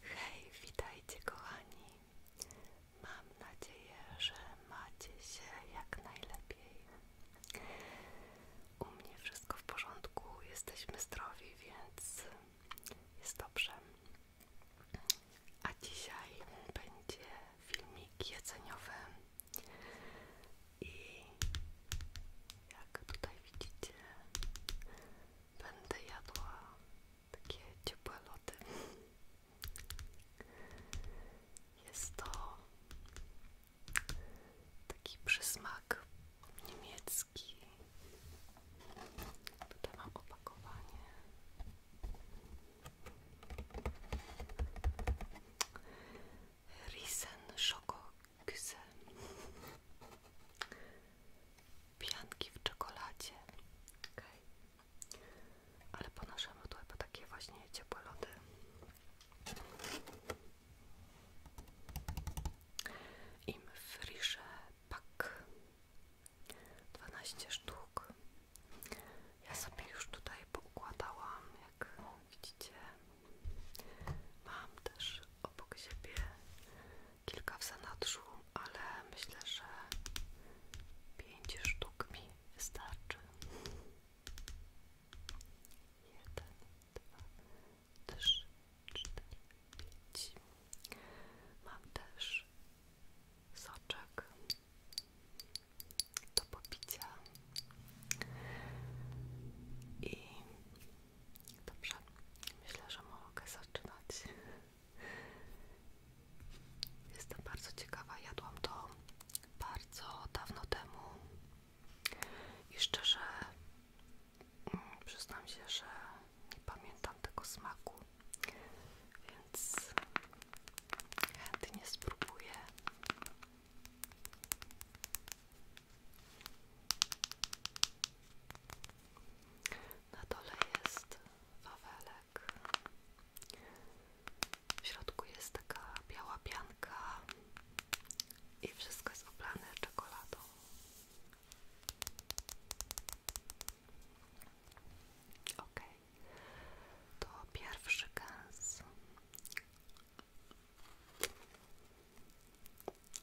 Hej, witajcie kochani. Mam nadzieję, że macie się jak najlepiej. U mnie wszystko w porządku, jesteśmy zdrowi, więc jest dobrze. A dzisiaj będzie filmik jedzeniowy jak tutaj widzicie, będę jadła takie ciepłe lody. Jest to taki przysmak niemiecki. Tutaj mam opakowanie. Risen Schoko Güzel. Pianki w czekoladzie. Ale po naszemu to chyba takie właśnie ciepłe lody. Im frische pak. 12 sztuk. Ja sobie już tutaj pokładałam jak widzicie, Mam też obok siebie kilka w zanadrzu, ale myślę, że pięć sztuk mi wystarczy. Jeden, dwa, trzy, cztery, pięć. Mam też soczek do popicia i Dobrze, myślę, że mogę zaczynać. Jestem bardzo ciekawa, jadłam to bardzo dawno temu i szczerze mm, przyznam się, że nie pamiętam tego smaku, więc chętnie spróbuję. Na dole jest wawelek. W środku jest taka biała pianka i wszystko jest oblane czekoladą. Ok, to pierwszy gęs.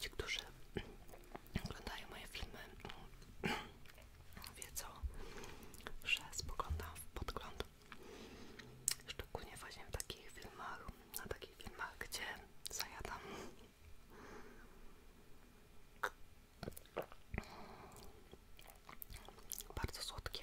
Ci, którzy oglądają moje filmy wiedzą, że spoglądam w podgląd. Szczególnie właśnie w takich filmach, na takich filmach, gdzie zajadam. Bardzo słodkie.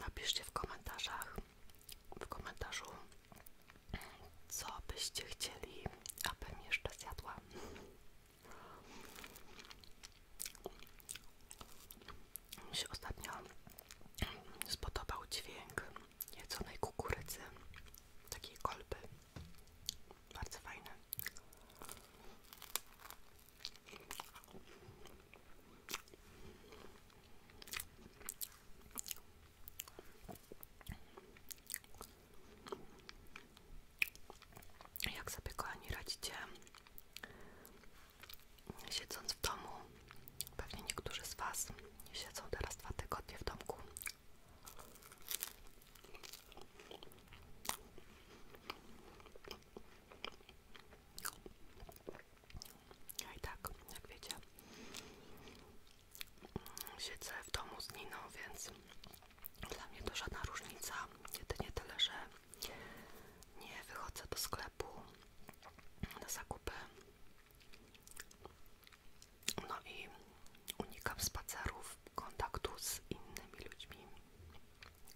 Napiszcie w komentarzach, w komentarzu, co byście chcieli, abym jeszcze zjadła. Mi się ostatnio spodobał dźwięk jedzonej kukurydzy, takiej kolby. Bardzo fajny. Jak sobie kochani radzicie siedząc w domu? Pewnie niektórzy z Was siedzą teraz dwa tygodnie w domku. Ja no i tak, jak wiecie, siedzę w domu z Niną, więc dla mnie to żadna różnica. Jedynie tyle, że nie wychodzę do sklepu na zakupy. No i unikam spacerów, kontaktu z innymi ludźmi.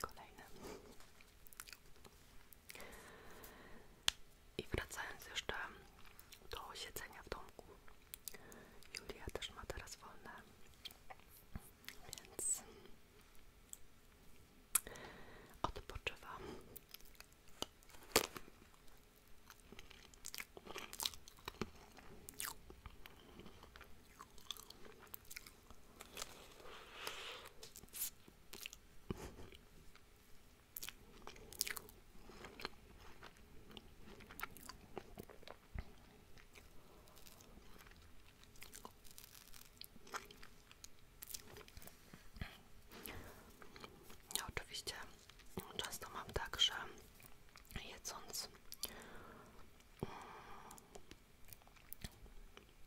Kolejne. I wracając jeszcze do siedzenia w domku. Julia też ma teraz wolne. Więc odpoczywam oczywiście często mam także jedząc. Mm,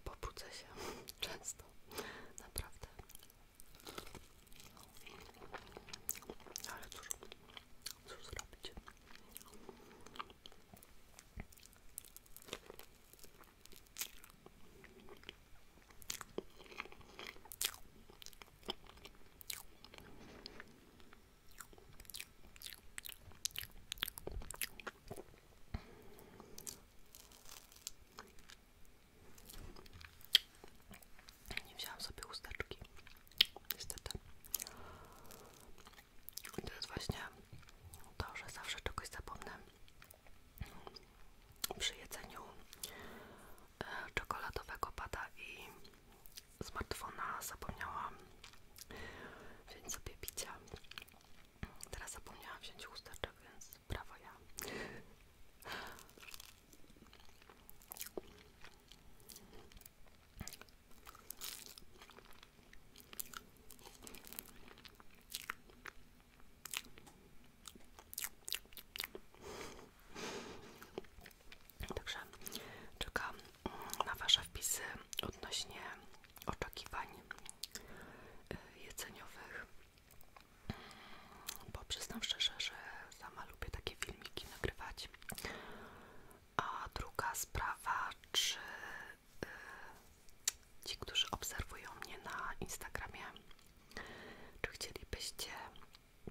pobudzę się często, naprawdę. Ale cóż, cóż zrobić? Nie wziąłem sobie chusteczki, niestety. to jest właśnie to, że zawsze czegoś zapomnę przy jedzeniu e, czekoladowego pada i smartfona zapomniałam wziąć sobie bicia. Teraz zapomniałam wziąć chusteczek, więc brawo Także czekam mm, na Wasze wpisy odnośnie oczekiwań y, jedzeniowych, bo przyznam szczerze, że sama lubię takie filmiki nagrywać. A druga sprawa, czy y, ci, którzy obserwują mnie na Instagramie, czy chcielibyście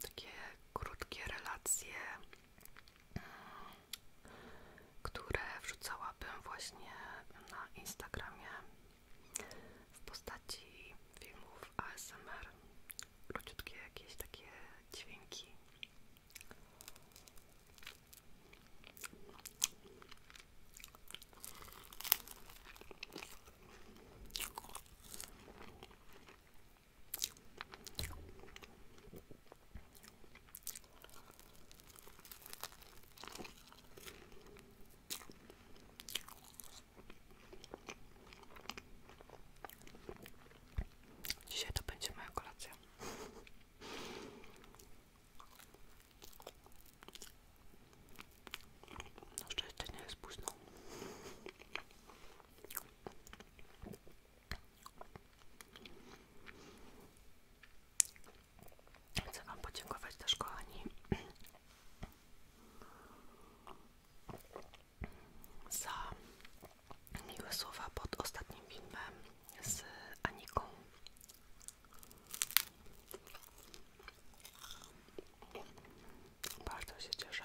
takie krótkie relacje, mm, które wrzucałabym właśnie na Instagramie w postaci filmów ASMR, króciutkie jakieś takie dźwięki. Dzisiaj to będzie moja kolacja. No szczęście nie jest Chcę Wam podziękować też, kochani, za miłe słowa pod ostatnim filmem z Aniką. Bardzo się cieszę,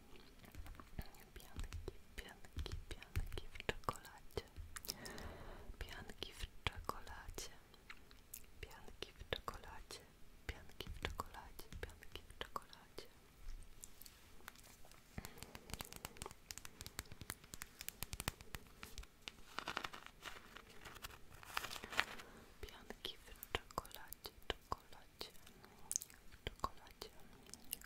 Pianki, pianki, pianki w czekoladzie. Pianki w czekoladzie. Pianki w czekoladzie. Pianki w czekoladzie. Pianki w czekoladzie. Pianki w czekoladzie, czekoladzie, czekoladzie,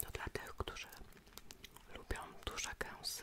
To dla tych, którzy lubią duże gęsy.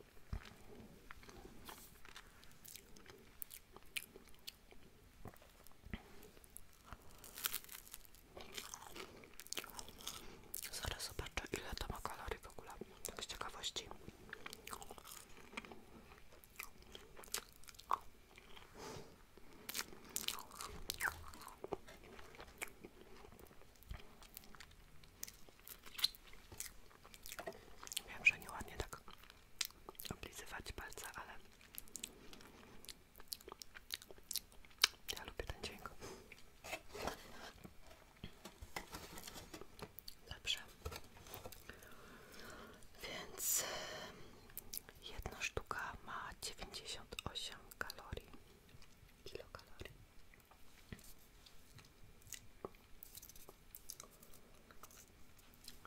Zaraz zobaczę ile to ma kalorii w ogóle, tak z ciekawości. Wiem, że nieładnie tak oblizywać palce, ale ja lubię ten dźwięk. Dobrze. Więc jedna sztuka ma 98 kalorii. Kilokalorii.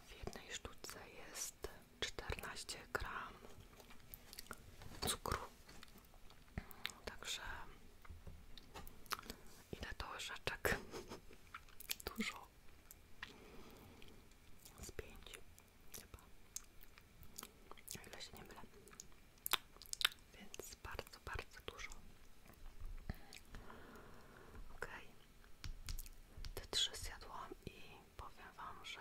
W jednej sztuce jest czternaście gram cukru. Także ile to łyżeczek? Dużo. Z pięć chyba. O ile się nie mylę. Więc bardzo, bardzo dużo. Ok. Te trzy zjadłam i powiem Wam, że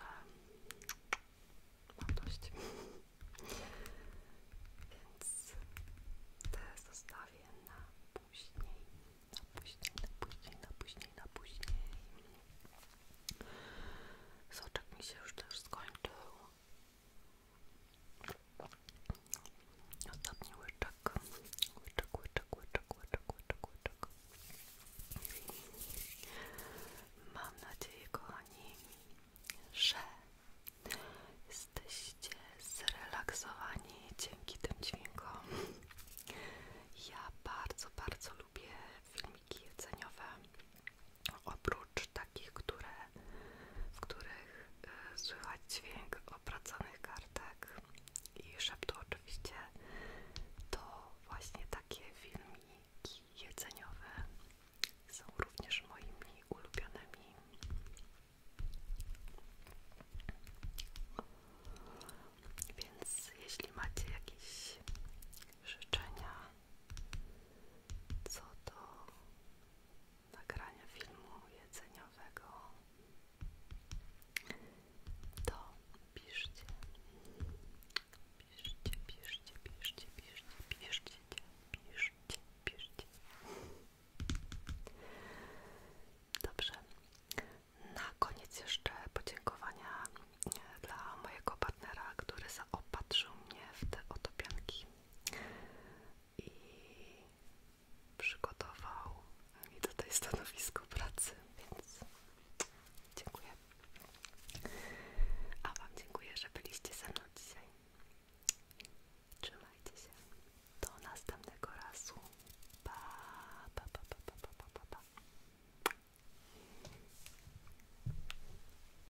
mam dość. Więc te zostawię na później. Na później, na później, na później, na później. Soczek mi się już też skończył. Ostatni łyczek. Łyczek, łyczek, łyczek, łyczek, łyczek, łyczek. Mam nadzieję, kochani, że jesteście zrelaksowani dzięki tym dźwiękom. Ja bardzo, bardzo lubię filmiki jedzeniowe oprócz takich, które, w których e, słychać dźwięk opraconych kartek i szeptu oczywiście, to właśnie takie filmiki jedzeniowe są również moimi ulubionymi. Więc jeśli macie jakieś życzenia co do nagrania filmu jedzeniowego, to piszcie, piszcie, piszcie, piszcie, piszcie, piszcie, piszcie, piszcie. Dobrze. Na koniec jeszcze podziękowania e, dla mojego partnera, który zaopatrzył mnie w te otopianki i przygotował mi tutaj stanowisko pracy, więc dziękuję. A Wam dziękuję, że byliście ze mną dzisiaj. Trzymajcie się. Do następnego razu. Pa, pa, pa, pa, pa, pa, pa, pa.